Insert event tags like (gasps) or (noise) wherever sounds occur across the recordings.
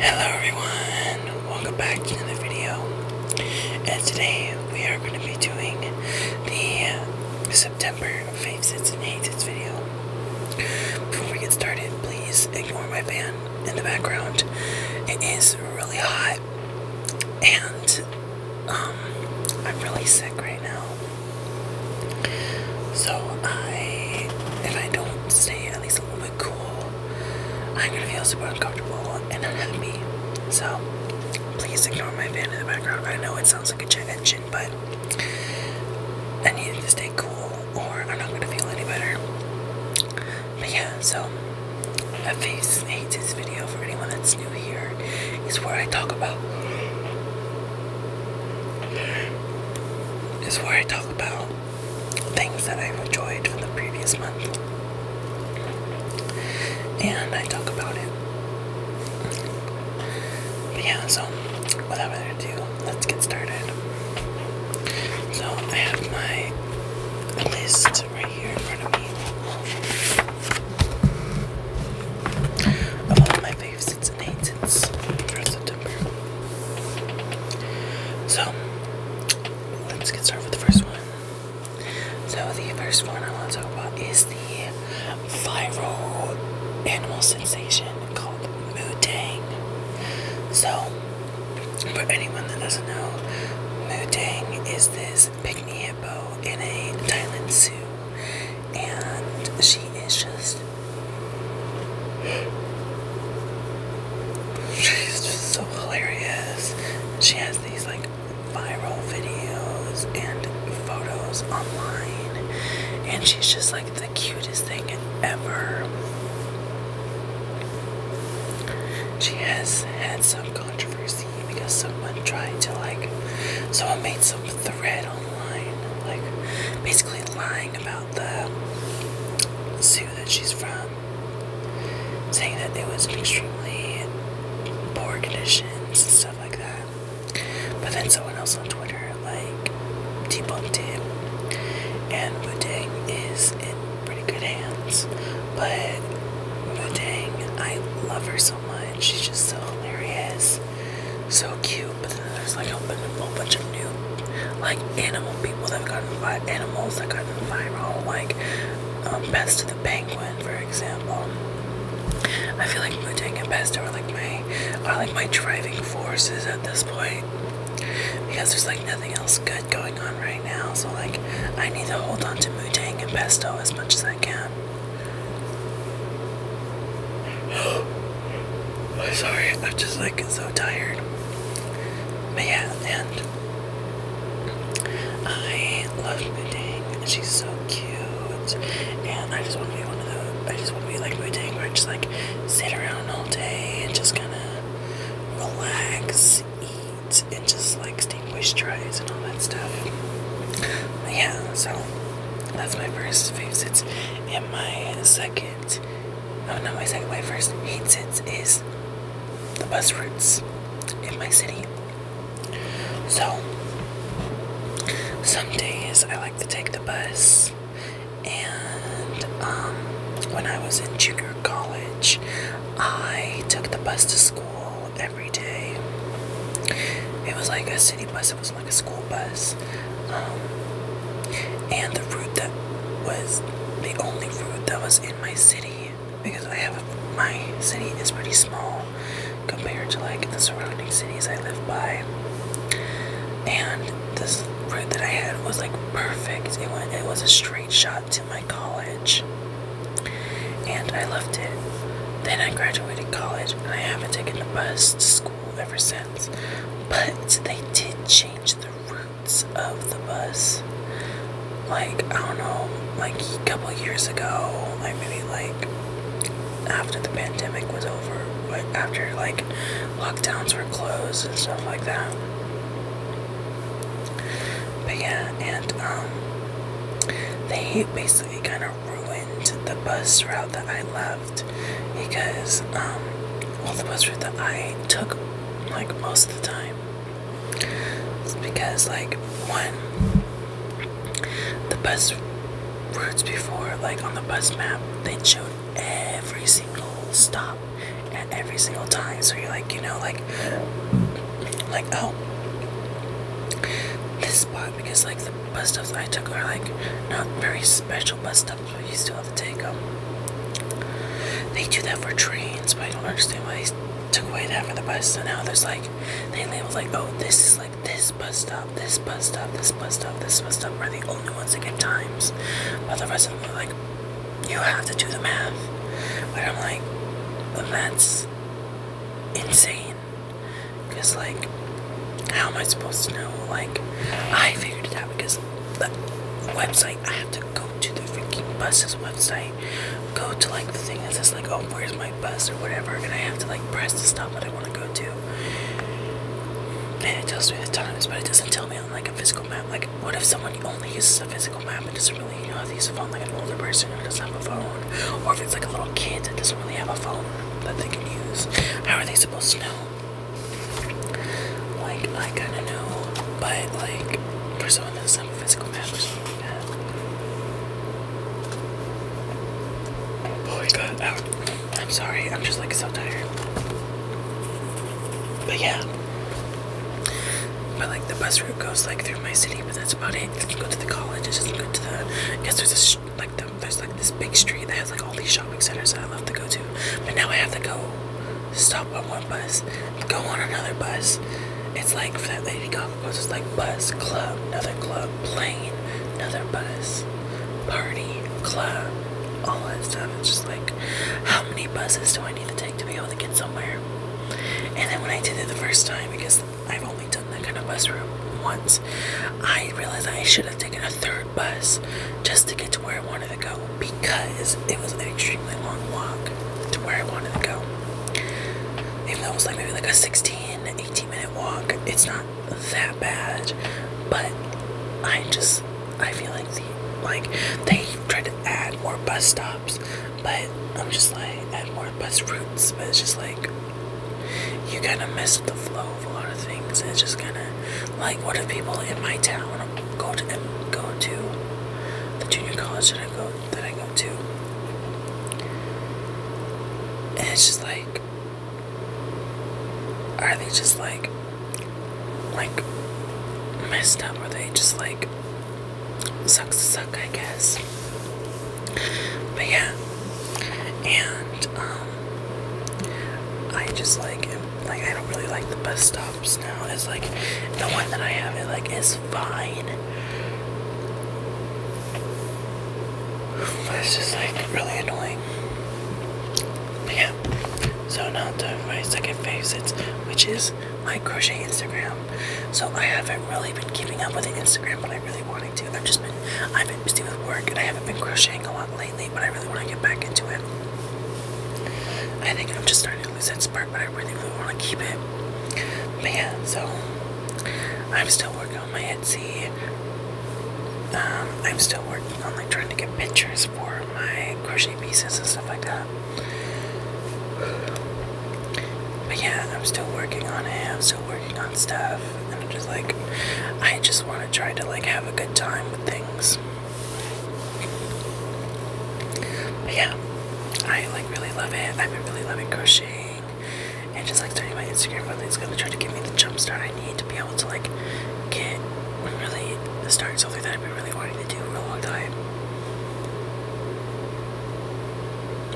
Hello everyone, welcome back to another video, and today we are going to be doing the September 5th and 8th video. Before we get started, please ignore my fan in the background. It is really hot, and um, I'm really sick right now. So I, if I don't stay at least a little bit cool, I'm gonna feel super uncomfortable and unhappy. So please ignore my fan in the background. I know it sounds like a jet engine, but I needed to stay cool or I'm not gonna feel any better. But yeah, so a face hates this video for anyone that's new here is where I talk about is where I talk about things that I've enjoyed from the previous month. And I talk about it. But yeah, so without further do let's get started. So I have my list right here in front of me of all my faves since for September. So let's get started with the first one. So the first one I want to talk about is the viral animal sensation called Mutang. So, for anyone that doesn't know, Moo Tang is this pygmy hippo in a Thailand zoo, and she is just. She's just so hilarious. She has these like viral videos and photos online, and she's just like the cutest thing ever. She has had some controversy because someone tried to like, someone made some thread online, like basically lying about the zoo that she's from, saying that there was in extremely poor conditions and stuff like that. But then someone else on Twitter like debunked him. And Mudang is in pretty good hands. But Mudang, I love her so much. She's just so hilarious. So cute. But then there's like a whole bunch of new like animal people that have gotten viral animals that gotten viral, like um, of the Penguin, for example. I feel like Mudang and Best are like me my are like my driving forces at this point because there's like nothing else good going on right now. So like I need to hold on to Mutang and Pesto as much as I can. (gasps) I'm sorry, I'm just like so tired. But yeah, and I love Mutang. She's so cute, and I just want to be one of those. I just want to be like Mutang, where I just like sit around all day and just kind of relax, eat, and just like stay moisturized and all that stuff. yeah, so that's my first favorite sits. And my second, oh no, my second, my first hate sits is the bus routes in my city. So, some days I like to take the bus and um, when I was in junior college, I took the bus to school every day. It was like a city bus, it was like a school bus. Um, and the route that was the only route that was in my city because I have a, my city is pretty small compared to like the surrounding cities I live by. And this route that I had was like perfect. It went, it was a straight shot to my college, and I loved it. Then I graduated college, and I haven't taken the bus to school ever since. But they did change the routes of the bus. Like I don't know, like a couple years ago, like maybe like after the pandemic was over, like after like lockdowns were closed and stuff like that. But yeah, and um, they basically kind of ruined the bus route that I loved because um, all the bus route that I took like most of the time because like one the bus routes before, like on the bus map, they showed every single stop at every single time. So you're like, you know, like, like oh, this spot because like the bus stops I took are like not very special bus stops, but you still have to take them. They do that for trains, but I don't understand why they took away that for the bus. So now there's like, they label like, oh, this is like this this bus stop, this bus stop, this bus stop, this bus stop we are the only ones that get times. But the rest of are like, you have to do the math. But I'm like, that's insane. Because, like, how am I supposed to know? Like, I figured it out because the website, I have to go to the freaking bus's website, go to like the thing that says, like, oh, where's my bus or whatever, and I have to like press the stop that I want to go to do. And it tells me the times, but it doesn't tell me on like a physical map. Like, what if someone only uses a physical map and doesn't really you know how to use a phone, like an older person who doesn't have a phone, or if it's like a little kid that doesn't really have a phone that they can use? How are they supposed to know? Like, I kind of know, but like for someone that doesn't have a physical map or something like that. Oh my God! I'm sorry, I'm just like so tired. But yeah. But like the bus route goes like through my city, but that's about it. It does go to the college, it doesn't go to the. I guess there's this like the, there's like this big street that has like all these shopping centers that I love to go to. But now I have to go stop on one bus, go on another bus. It's like for that lady Gaga goes, it's like bus, club, another club, plane, another bus, party, club, all that stuff. It's just like, how many buses do I need to take to be able to get somewhere? And then when I did it the first time, because I've only done that kind of bus route once, I realized I should have taken a third bus just to get to where I wanted to go because it was an extremely long walk to where I wanted to go. Even though it was like maybe like a 16, 18 minute walk, it's not not that bad, but I just I feel like the like they tried to add more bus stops, but I'm just like add more bus routes, but it's just like you kind of mess with the flow of a lot of things. It's just kind of like what if people in my town go to go to the junior college that I go that I go to, and it's just like are they just like like messed up? Are they just like sucks to suck, I guess? But yeah, and um, I just like like I don't really like the bus stops now. It's like the one that I have it like is fine. It's just like really annoying. yeah. So now to my second favorite, which is my crochet Instagram. So I haven't really been keeping up with the Instagram, but I really wanted to. I've just been I've been busy with work and I haven't been crocheting a lot lately, but I really want to get back into it. I think I'm just starting to lose that spark, but I really, really want to keep it. But yeah, so I'm still working on my Etsy. Um, I'm still working on like trying to get pictures for my crochet pieces and stuff like that. But yeah, I'm still working on it. I'm still working on stuff, and I'm just like, I just want to try to like have a good time with things. But yeah, I like really love it. I've been really loving crocheting and just like starting my Instagram I think gonna try to give me the jump start I need to be able to like get really the start something that I've been really wanting to do for a long time.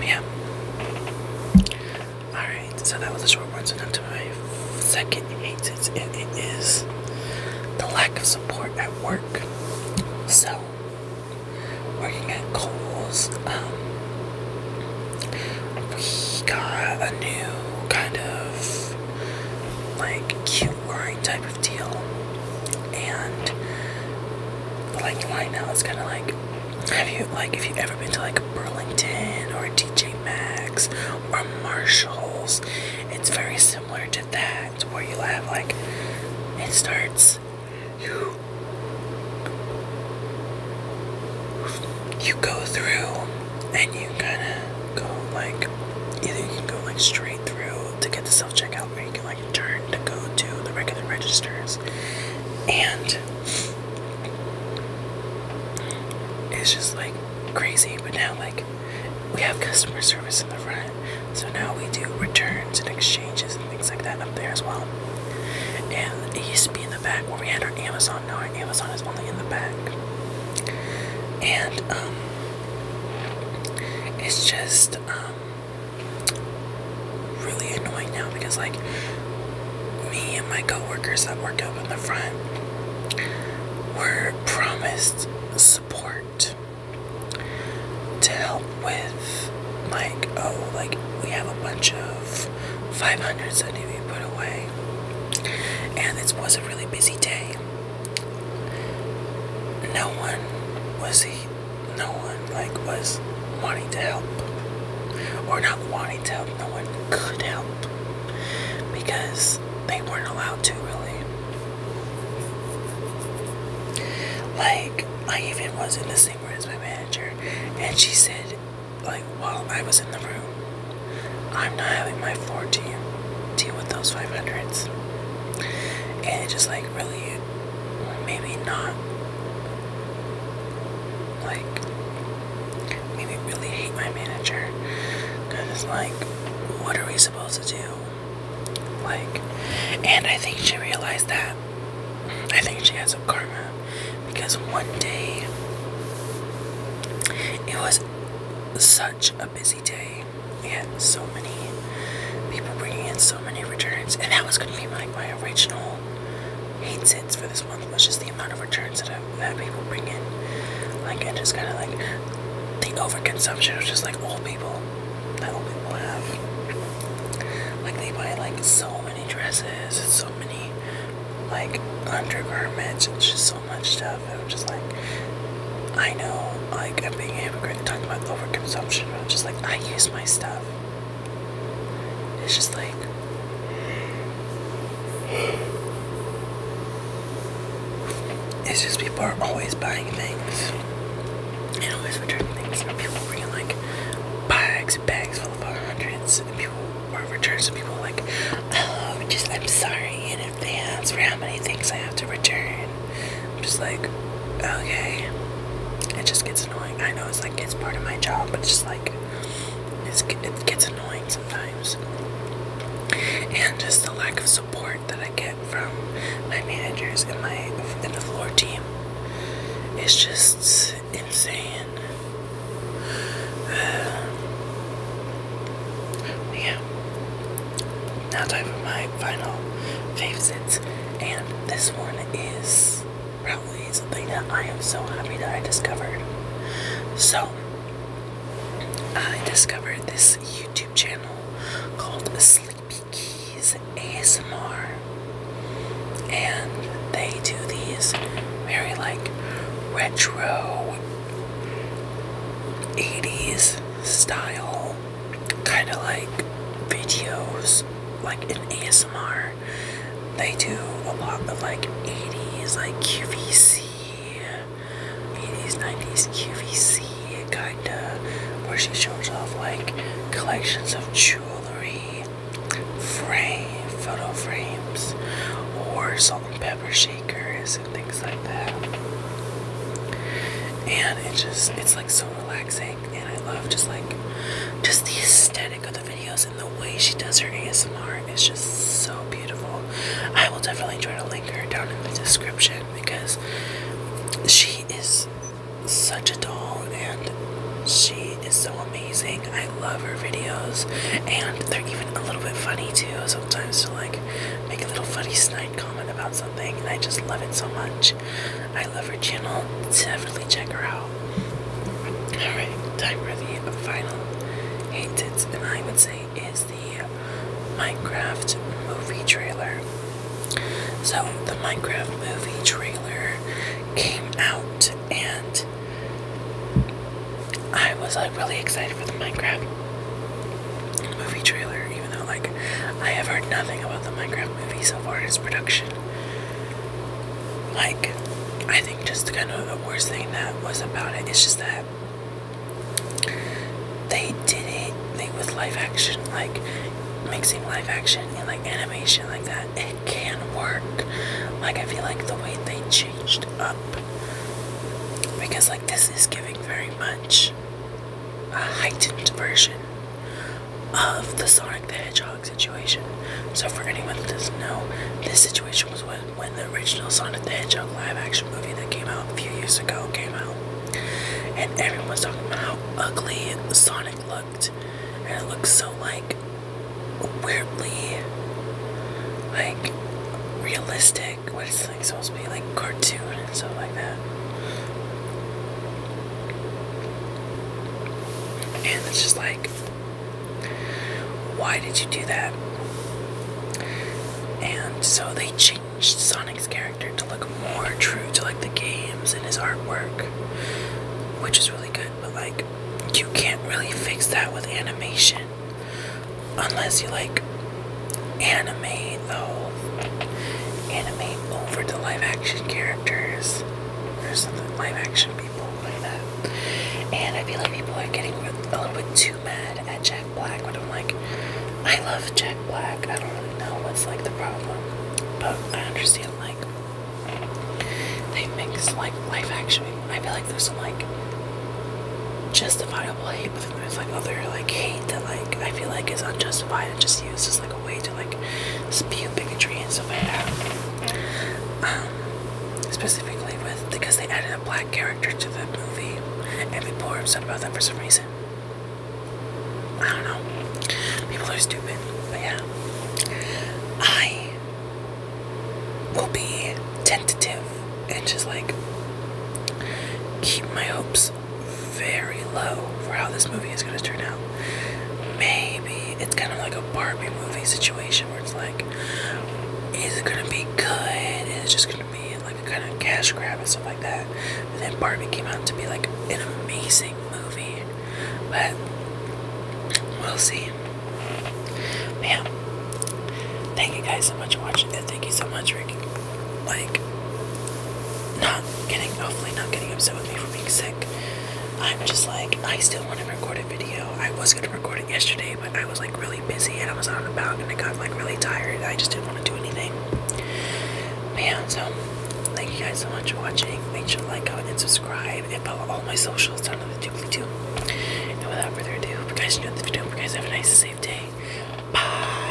yeah. Alright, so that was a short one, so now my second hate sense it is the lack of support at work. So working at Kohl's, um, we got a new kind of like cute line type of deal, and the lighting line now is kind of like have you like if you ever been to like Burlington or DJ Maxx or Marshalls, it's very similar to that where you have like it starts you you go through and you kind of go like either you can go like straight through to get the self checkout or you can like turn to go to the regular registers and it's just like crazy but now like we have customer service in the front so now we do returns and exchanges and things like that up there as well and it used to be in the in the back where we had our Amazon. Now Amazon is only in the back. And um, it's just um, really annoying now because like me and my coworkers that work up in the front were promised support to help with like oh like we have a bunch of Five hundred I need to be put away. And it was a really busy day. No one was he no one like was wanting to help. Or not wanting to help, no one could help. Because they weren't allowed to really. Like I even was in the same room as my manager and she said like while I was in the room. I'm not having my 4G deal with those 500s. And it just like really, maybe not, like, maybe really hate my manager. Because, like, what are we supposed to do? Like, and I think she realized that I think she has some karma because one day it was such a busy day. We had so many people bringing in so many returns, and that was going to be like my, original eight cents for this month was just the amount of returns that, I, had people bring in. Like, and just kind of like the overconsumption of just like old people that old people have. Like, they buy like so many dresses and so many like undergarments and just so much stuff. And I'm just like, I know, like I'm being a hypocrite talking about overconsumption, but I'm just like, I use my stuff. It's just like. It's just people are always buying things and always returning things. And people bringing like bag bags, bags full of hundreds, people were returned. people like, oh, just I'm sorry in advance for how many things I have to return. I'm just like, okay. It just gets annoying. I know it's like it's part of my job, but it's just like it gets annoying sometimes. And just the lack of support that I get from my managers and my and the floor team. It's just insane. Uh, yeah. Now time for my final favorites, and this one is probably something that I am so happy that I discovered. So I discovered this YouTube channel called Sleepy Keys ASMR, and they do these very like retro 80s style kind of like videos, like in ASMR. They do a lot of like 80s, like QVC, 80s, 90s QVC kind of where she shows off like collections of jewelry frame, photo frames, or salt and pepper shakers and things like that. And it just, it's like so relaxing. And I love just like, just the aesthetic of the videos and the way she does her ASMR is just so beautiful. I will definitely try to link her down in the description because she is such a doll and she is so amazing. I love her videos and they're even a little bit funny too. Sometimes to like make a little funny snide comment about something and I just love it so much. I love her channel. Definitely check her out. Alright, time for the final hate tits and I would say is the Minecraft movie trailer. So, the Minecraft movie trailer came out, and I was like really excited for the Minecraft movie trailer, even though, like, I have heard nothing about the Minecraft movie so far in its production. Like, I think just kind of the worst thing that was about it is just that they did it, they with live action, like, mixing live action and like animation like that, it can work. Like I feel like the way they changed up because like this is giving very much a heightened version of the Sonic the Hedgehog situation. So for anyone that doesn't know, this situation was when, when the original Sonic the Hedgehog live action movie that came out a few years ago came out. And everyone was talking about how ugly Sonic looked and it looks so like weirdly like realistic. What is it's like supposed to be like cartoon and stuff like that. And it's just like why did you do that? And so they changed Sonic's character to look more true to like the games and his artwork, which is really good. But like, you can't really fix that with animation unless you like animate though, animate over to live action characters or something, live action people like that. And I feel like people are getting a little bit too mad at Jack Black, but I'm like, I love Jack Black. I don't really know what's like the problem, but I understand like they mix like life action. I feel like there's some like justifiable hate, but then there's like other like hate that like I feel like is unjustified and just used as like a way to like spew bigotry and stuff like that. Um, specifically with because they added a black character to the movie and people were upset about that for some reason. I don't know. People are stupid, but yeah. I will be tentative and just like keep my hopes very low for how this movie is gonna turn out. Maybe it's kind of like a Barbie movie situation where it's like, is it gonna be good? Is it just gonna be like a kind of cash grab and stuff like that? And then Barbie came out to be like an amazing movie, but we'll see. But thank you guys so much for watching, and thank you so much for like not getting, hopefully not getting upset with me for being sick. I'm just like I still want to record a video. I was gonna record it yesterday, but I was like really busy and I was on the about and I got like really tired. I just didn't want to do anything. But so thank you guys so much for watching. Make sure to like, comment, and subscribe, and follow all my socials down in the doobly doo. And without further ado, hope you guys enjoyed this video, Hope you guys have a nice, safe day. Bye.